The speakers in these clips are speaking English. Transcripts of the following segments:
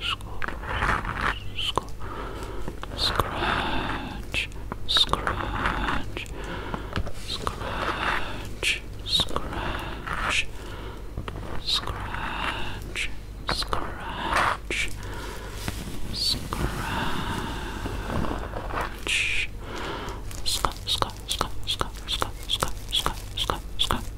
sc scratch, scratch, scratch, scratch, scratch, scratch, scratch, scratch, scratch, scratch, scratch, scratch, scratch, scratch, scratch,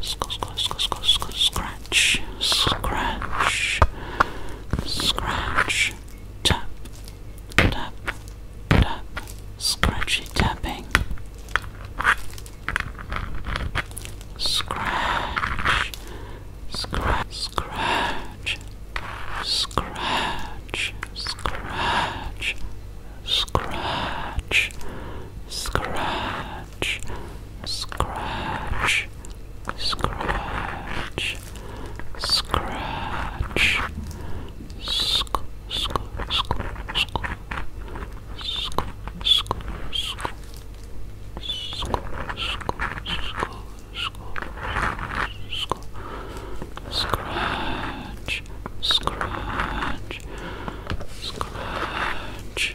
Scratch, scratch, scratch, scratch, tap, tap, tap, scratchy tapping, scratch, scratch, scratch, scratch, scratch, scratch, scratch scratch, scratch, scratch, scratch, sc sc sc sc sc sc sc Scratch, scratch, scratch,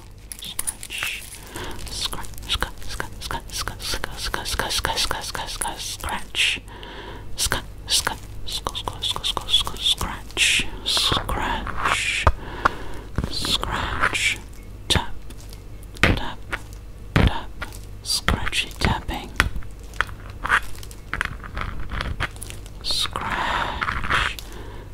scratch, scratch, scratch, scratch, scratch, scratch, scratch, scratch, scratch, scratch, scratch, scratch, scratch, scratch, scratch, scratch, tap, tap, tap, scratchy tapping, scratch,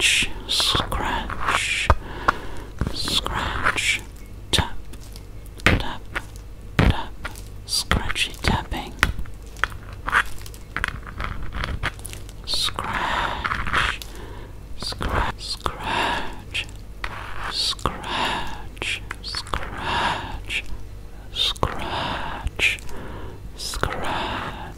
scratch, scratch, scratch, tap, tap, tap, scratchy tapping, scratch, scratch, scratch, scratch, scratch, scratch, scratch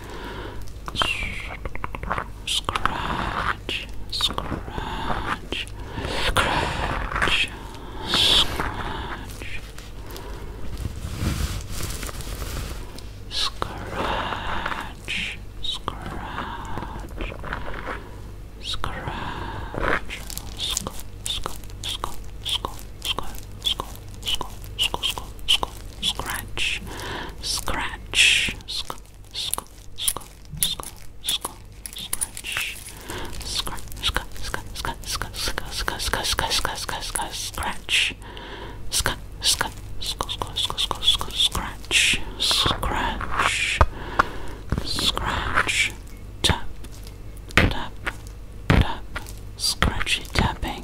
Scratch, scratch, scratch, scratch, scratch, scratch. Scratch, sc, sc, sc, sc, sc, sc, scratch, scratch, scratch, scratch, scratch, scratch, scratch, tap, tap, tap, scratchy tapping.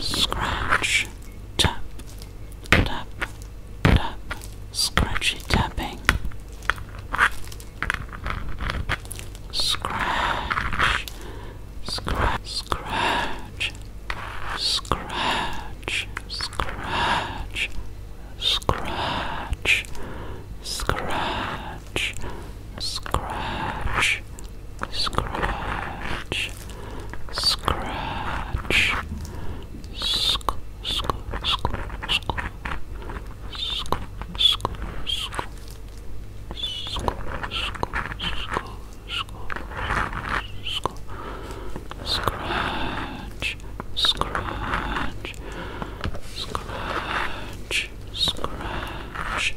scratch, tap, tap, tap, scratchy tapping, scratch, scratch, scratch, scratch, scratch, scratch, scratch scratch, scratch, scratch, scratch, sc sc sc sc sc sc sc Scratch, scratch, scratch, scratch,